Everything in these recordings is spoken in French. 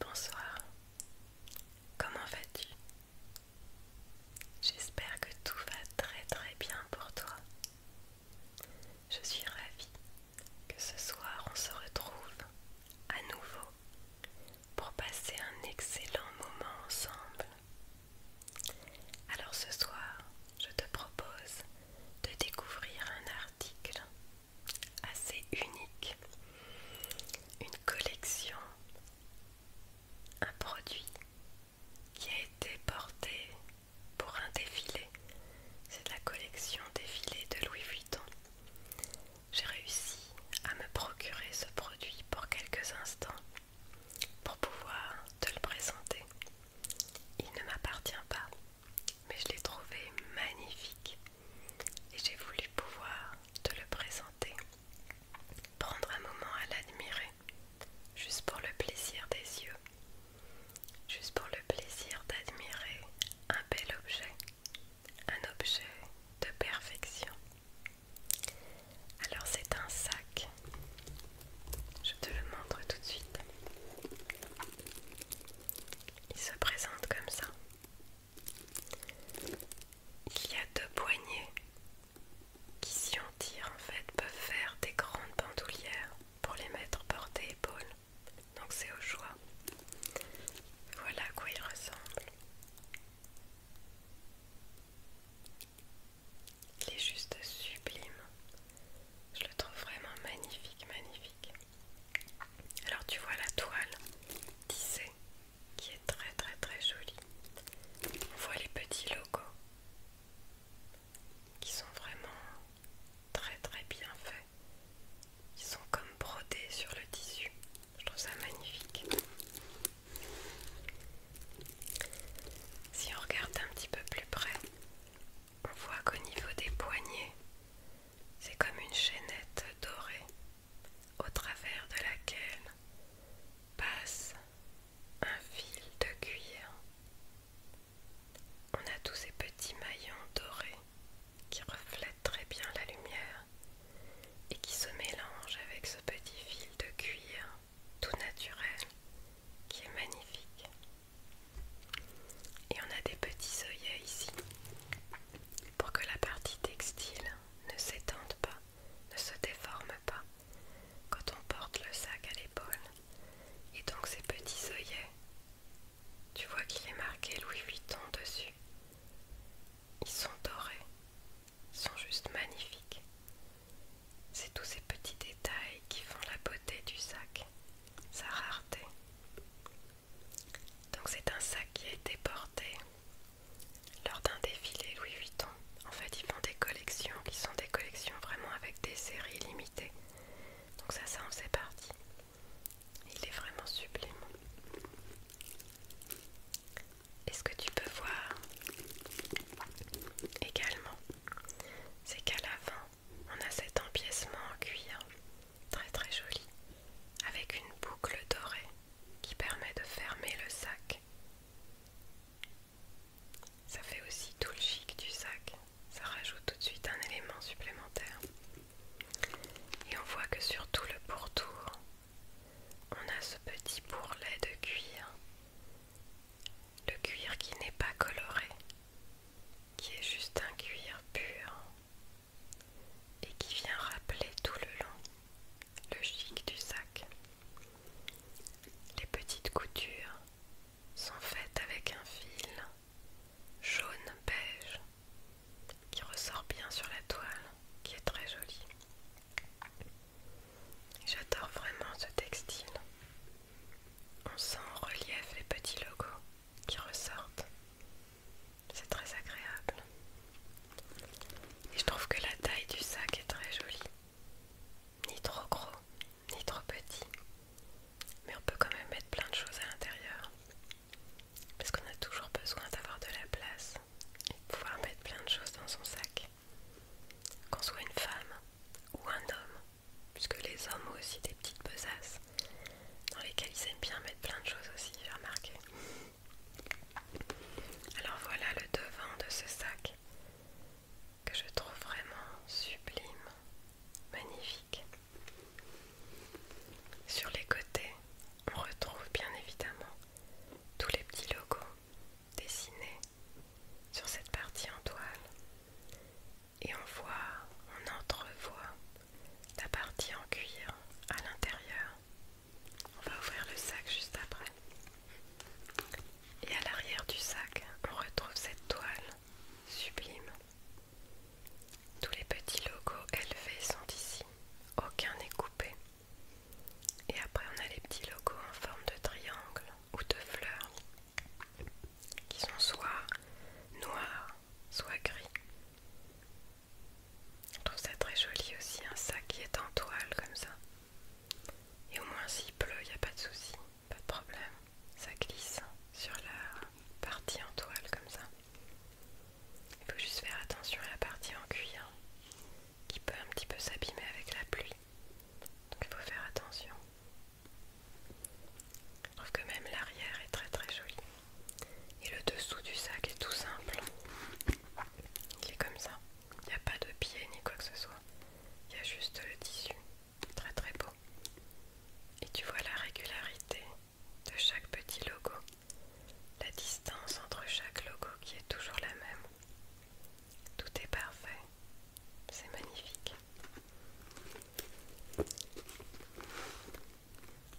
Bonsoir, comment vas-tu J'espère que tout va très très bien pour toi. Je suis ravie que ce soir on se retrouve à nouveau pour passer un excellent moment ensemble. Alors ce soir, je te propose de découvrir un article assez unique, une collection, un produit qui a été porté pour un défilé. C'est la collection défilé de Louis Vuitton. J'ai réussi à me procurer ce produit pour quelques instants pour pouvoir te le présenter. Il ne m'appartient pas, mais je l'ai trouvé magnifique et j'ai voulu pouvoir te le présenter, prendre un moment à l'admirer, juste pour le plaisir des yeux, juste pour le plaisir d'admirer un bel objet, un objet de perfection. Alors c'est un sac, je te le montre tout de suite. Il se présente comme ça. Il y a deux poignées qui, si on tire en fait, peuvent faire des grandes bandoulières pour les mettre portée-épaule. Donc c'est au choix. Voilà à quoi il ressemble. Il est juste sublime. Je le trouve vraiment magnifique, magnifique. Alors tu vois la toile tissée qui est très très très jolie. On voit les petits logos qui sont vraiment très très bien faits. Ils sont comme brodés sur le tissu. Je trouve ça magnifique. Si on regarde un petit peu plus près, on voit qu'au niveau des poignets, c'est comme une chaînette dorée au travers de laquelle passe un fil de cuir. On a tous ces petits maillons dorés qui reflètent très bien la lumière et qui se mélangent avec ce petit fil de cuir tout naturel qui est magnifique. Et on a des petits œillets ici pour que la partie textile ne s'étende pas, ne se déforme pas quand on porte le sac à l'épaule. Et donc ces petits œillets, tu vois qu'il est marqué Louis Vuitton dessus. Ils sont dorés, ils sont juste magnifiques. C'est tous ces petits détails qui font la beauté du sac, sa rareté. Donc c'est un sac qui a été porté lors d'un défilé Louis Vuitton. En fait, ils font des collections qui sont des collections vraiment avec des séries limitées. Donc ça, ça en fait partie. Il est vraiment sublime. Et ce que tu peux voir également, c'est qu'à l'avant on a cet empiècement en cuir très très joli, avec une boucle dorée qui permet de fermer le sac. Ça fait aussi tout le chic du sac, ça rajoute tout de suite un élément supplémentaire. Et on voit que sur tout le pourtour, on a ce petit bourrelet de cuir, le cuir qui n'est pas coloré, qui est juste un cuir pur et qui vient rappeler tout le long le chic du sac. Les petites coutures sont faites avec un fil jaune beige qui ressort bien sur la toile, qui est très jolie. J'adore vraiment ce textile. On sent en relief les petits logos qui ressortent c'est très agréable. Et je trouve que la taille du sac est très jolie. Ni trop gros, ni trop petit. Mais on peut quand même mettre plein de choses à l'intérieur. Parce qu'on a toujours besoin d'avoir de la place et de pouvoir mettre plein de choses dans son sac. Qu'on soit une femme ou un homme, puisque les hommes ont aussi des petites besaces dans lesquels ils aiment bien mettre plein de choses aussi, j'ai remarqué. Alors voilà le devant de ce sac que je trouve vraiment sublime, magnifique. Sur les côtés, on retrouve bien évidemment tous les petits logos dessinés sur cette partie en toile et on voit, on entrevoit la partie en cuir à l'intérieur. On va ouvrir le sac juste après. Et à l'arrière du sac, on retrouve cette toile sublime. Tous les petits logos élevés sont ici, aucun n'est coupé. Et après, on a les petits logos en forme de triangle ou de fleurs qui sont soit noirs, soit gris. Je trouve ça très joli aussi, un sac qui est en toile comme ça. Et au moins s'il pleut, il n'y a pas de souci, pas de problème. Ça glisse sur la partie en toile comme ça. Il faut juste faire attention à la partie en cuir qui peut un petit peu s'abîmer avec la pluie. Donc il faut faire attention. Je trouve que même l'arrière est très très joli. Et le dessous du sac est tout simple. Il est comme ça. Il n'y a pas de pied ni quoi que ce soit. Il y a juste le tissu. Très très beau. Et tu vois la régularité de chaque petit logo. La distance entre chaque logo qui est toujours la même. Tout est parfait. C'est magnifique.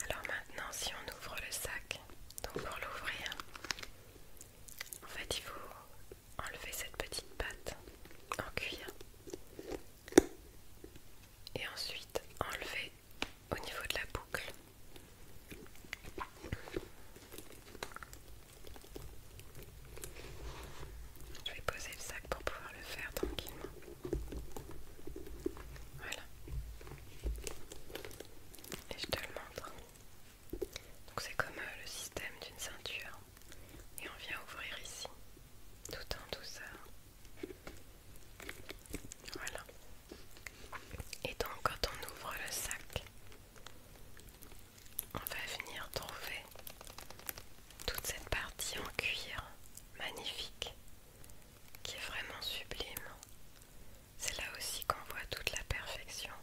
Alors maintenant si on ouvre le sac, donc pour l'ouvrir, en fait il faut enlever cette petite patte en cuir et ensuite enlever au niveau de la boucle. Je vais poser le sac pour pouvoir le faire tranquillement. Voilà. Et je te le montre. Donc c'est comme euh, le système d'une ceinture. Et on vient ouvrir ici, tout en douceur. Voilà. Et donc quand on ouvre le sac, on va venir trouver toute cette partie en cuir magnifique qui est vraiment sublime. C'est là aussi qu'on voit toute la perfection,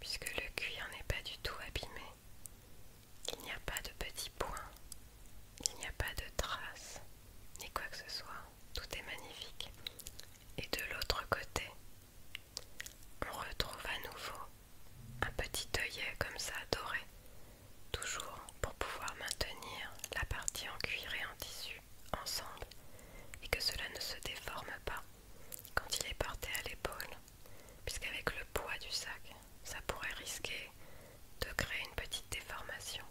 puisque le cuir n'est pas du tout abîmé. Il n'y a pas de petits points, il n'y a pas de traces, ni quoi que ce soit. Tout est magnifique. Et de l'autre côté, on retrouve à nouveau un petit œillet comme ça doré toujours pour pouvoir maintenir la partie en cuir et en tissu ensemble et que cela ne se déforme pas quand il est porté à l'épaule, puisqu'avec le poids du sac, ça pourrait risquer de créer une petite déformation.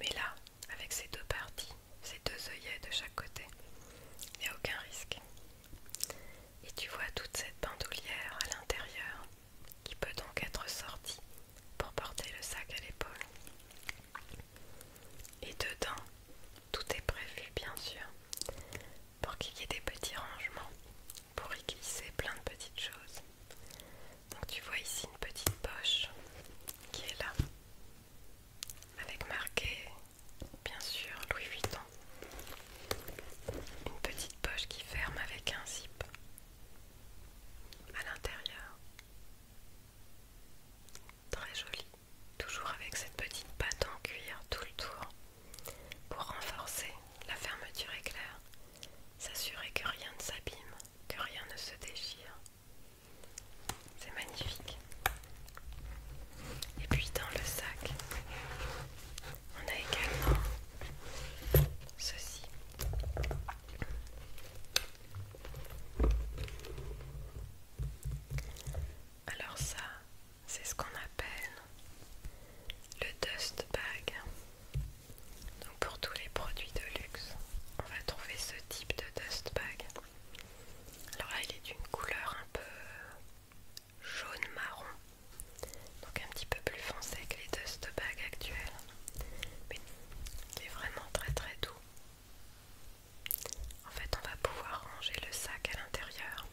Mais là, avec ces deux parties, ces deux œillets de chaque côté, il n'y a aucun risque. Et tu vois toute cette bandoulière à l'intérieur qui peut donc être sorti pour porter le sac à l'épaule. Et dedans, tout est prévu bien sûr pour qu'il y ait des petits rangements, pour y glisser plein de petites choses. Donc tu vois ici une petite poche qui est là, avec marqué bien sûr Louis Vuitton. Une petite poche qui ferme avec un zip à l'intérieur. Très joli, toujours avec cette petite patte en cuir tout le tour pour renforcer la fermeture éclair, s'assurer que rien ne s'abîme, que rien ne se déchire. C'est magnifique. Et puis dans le sac, on a également ceci. Alors ça, c'est ce qu'on appelle le dust bag. Donc pour tous les produits de luxe, on va trouver ce type de dust bag. Alors là, il est d'une couleur un peu jaune marron donc un petit peu plus foncé que les deux actuels mais qui est vraiment très très doux en fait on va pouvoir ranger le sac à l'intérieur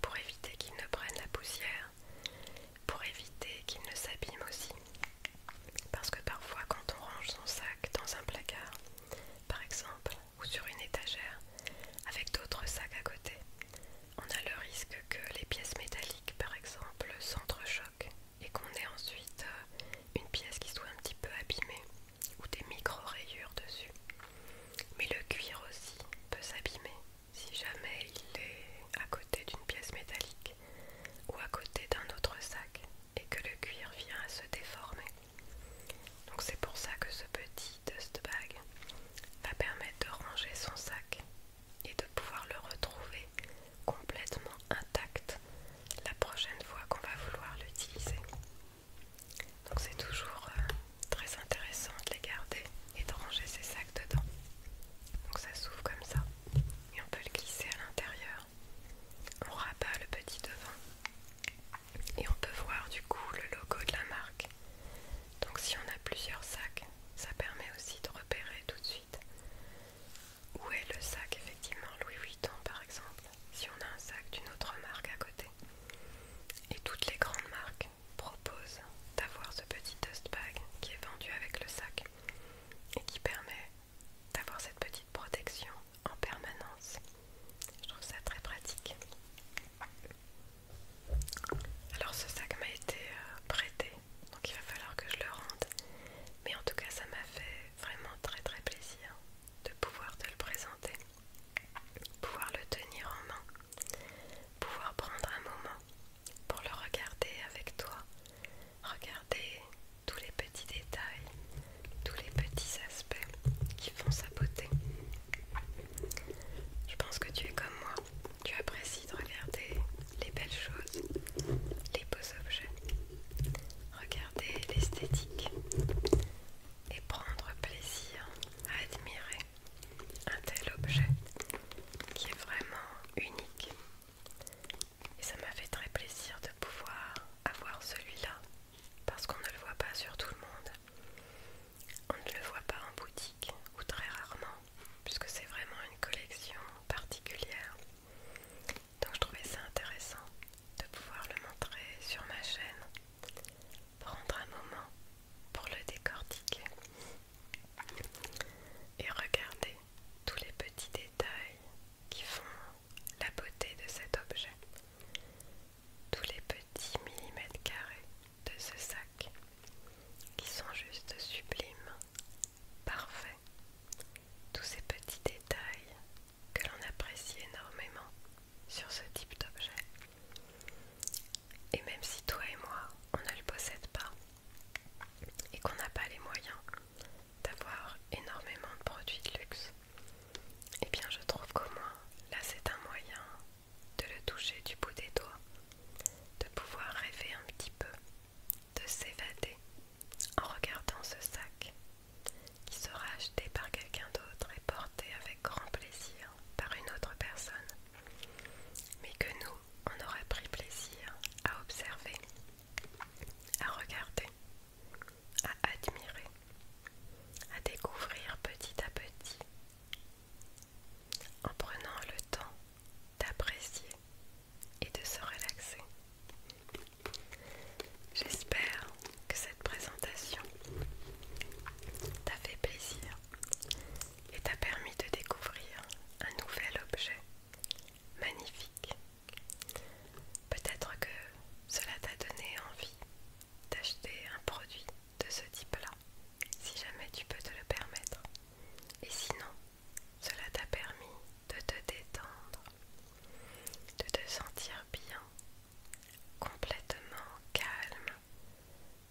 pour éviter qu'il ne prenne la poussière pour éviter qu'il ne s'abîme aussi parce que parfois quand on range son sac dans un placard par exemple ou sur une étagère avec d'autres sacs à côté on a le risque que les pièces métalliques, par exemple, s'entrechoquent et qu'on ait ensuite euh, une pièce qui soit un petit peu abîmée ou des micro-rayures dessus. Mais le cuir aussi peut s'abîmer si jamais il est à côté d'une pièce métallique ou à côté d'un autre sac et que le cuir vient à se déformer. Donc c'est pour ça que ce petit dust bag va permettre de ranger son sac et de pouvoir le retrouver complètement intact la prochaine fois qu'on va vouloir l'utiliser. Donc c'est toujours euh, très intéressant de les garder et de ranger ces sacs dedans. Donc ça s'ouvre comme ça et on peut le glisser à l'intérieur. On rabat le petit devant et on peut voir du coup le logo de la marque. Donc si on a plusieurs sacs, ça permet aussi de repérer tout de suite où est le sac effectivement Louis Vuitton par exemple, si on a un sac d'une autre marque à côté. Et toutes les grandes marques proposent d'avoir ce petit dust bag qui est vendu avec le sac et qui permet d'avoir cette petite protection en permanence. Je trouve ça très pratique. Alors ce sac m'a été euh, prêté, donc il va falloir que je le rende. Mais en tout cas ça m'a fait vraiment très très plaisir de pouvoir te le présenter, pouvoir le tenir en main, pouvoir prendre un moment pour le regarder avec toi, regarder tous les petits détails, tous les petits aspects qui font sa beauté. Je pense que tu es comme moi tu apprécies de regarder les belles choses, les beaux objets, regarder l'esthétique et prendre plaisir à admirer un tel objet qui est vraiment unique. Et ça m'a fait très plaisir de pouvoir avoir celui-là parce qu'on ne le voit pas sur tout le monde. On ne le voit pas en boutique ou très rarement puisque c'est vraiment une collection particulière. Donc je trouvais ça intéressant de pouvoir le montrer sur ma chaîne, prendre un moment pour le décortiquer et regarder tous les petits détails qui font la beauté de cet objet, tous les petits millimètres carrés de ce sac qui sont juste sublimes, parfaits. Tous ces petits détails que l'on apprécie énormément sur ce type d'objet. Et même si toi et moi, on ne le possède pas et qu'on n'a pas les moyens d'avoir énormément de produits de luxe, et eh bien je trouve qu'au moins là c'est un moyen de le toucher du bout des doigts, de pouvoir rêver un petit peu, de s'évader en regardant ce sac qui sera acheté par quelqu'un d'autre et porté avec grand plaisir par une autre personne, mais que nous, on aura pris plaisir à observer, à regarder, à admirer, à découvrir petit à petit en prenant le temps d'apprécier et de se relaxer. J'espère que cette présentation t'a fait plaisir et t'a permis de découvrir un nouvel objet magnifique. Peut-être que cela t'a donné envie d'acheter un produit de ce type-là si jamais tu peux te le permettre. Et sinon, cela t'a permis de te détendre, de te sentir bien, complètement calme,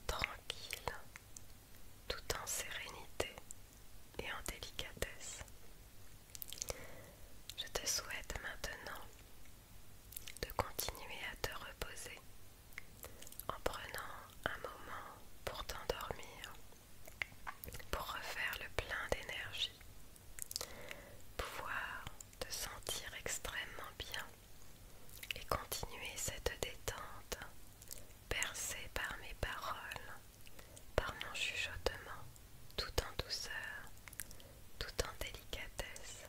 tranquille, tout en sérénité et en délicatesse. Je te souhaite maintenant de continuer à te reposer en prenant un moment pour t'endormir, pour refaire le plein d'énergie, pouvoir te sentir extrêmement bien et continuer cette détente percée par mes paroles, par mon chuchotement, tout en douceur, tout en délicatesse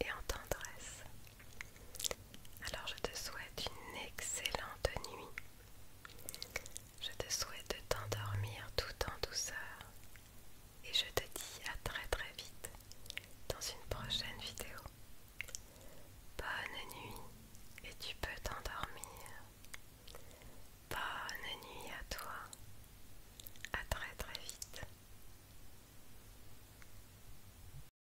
et en tendresse. Alors je te souhaite une excellente nuit. Je te souhaite de t'endormir tout en douceur. Et je te dis à très très vite dans une prochaine vidéo. Bonne nuit et tu peux t'endormir. Bonne nuit à toi. À très très vite.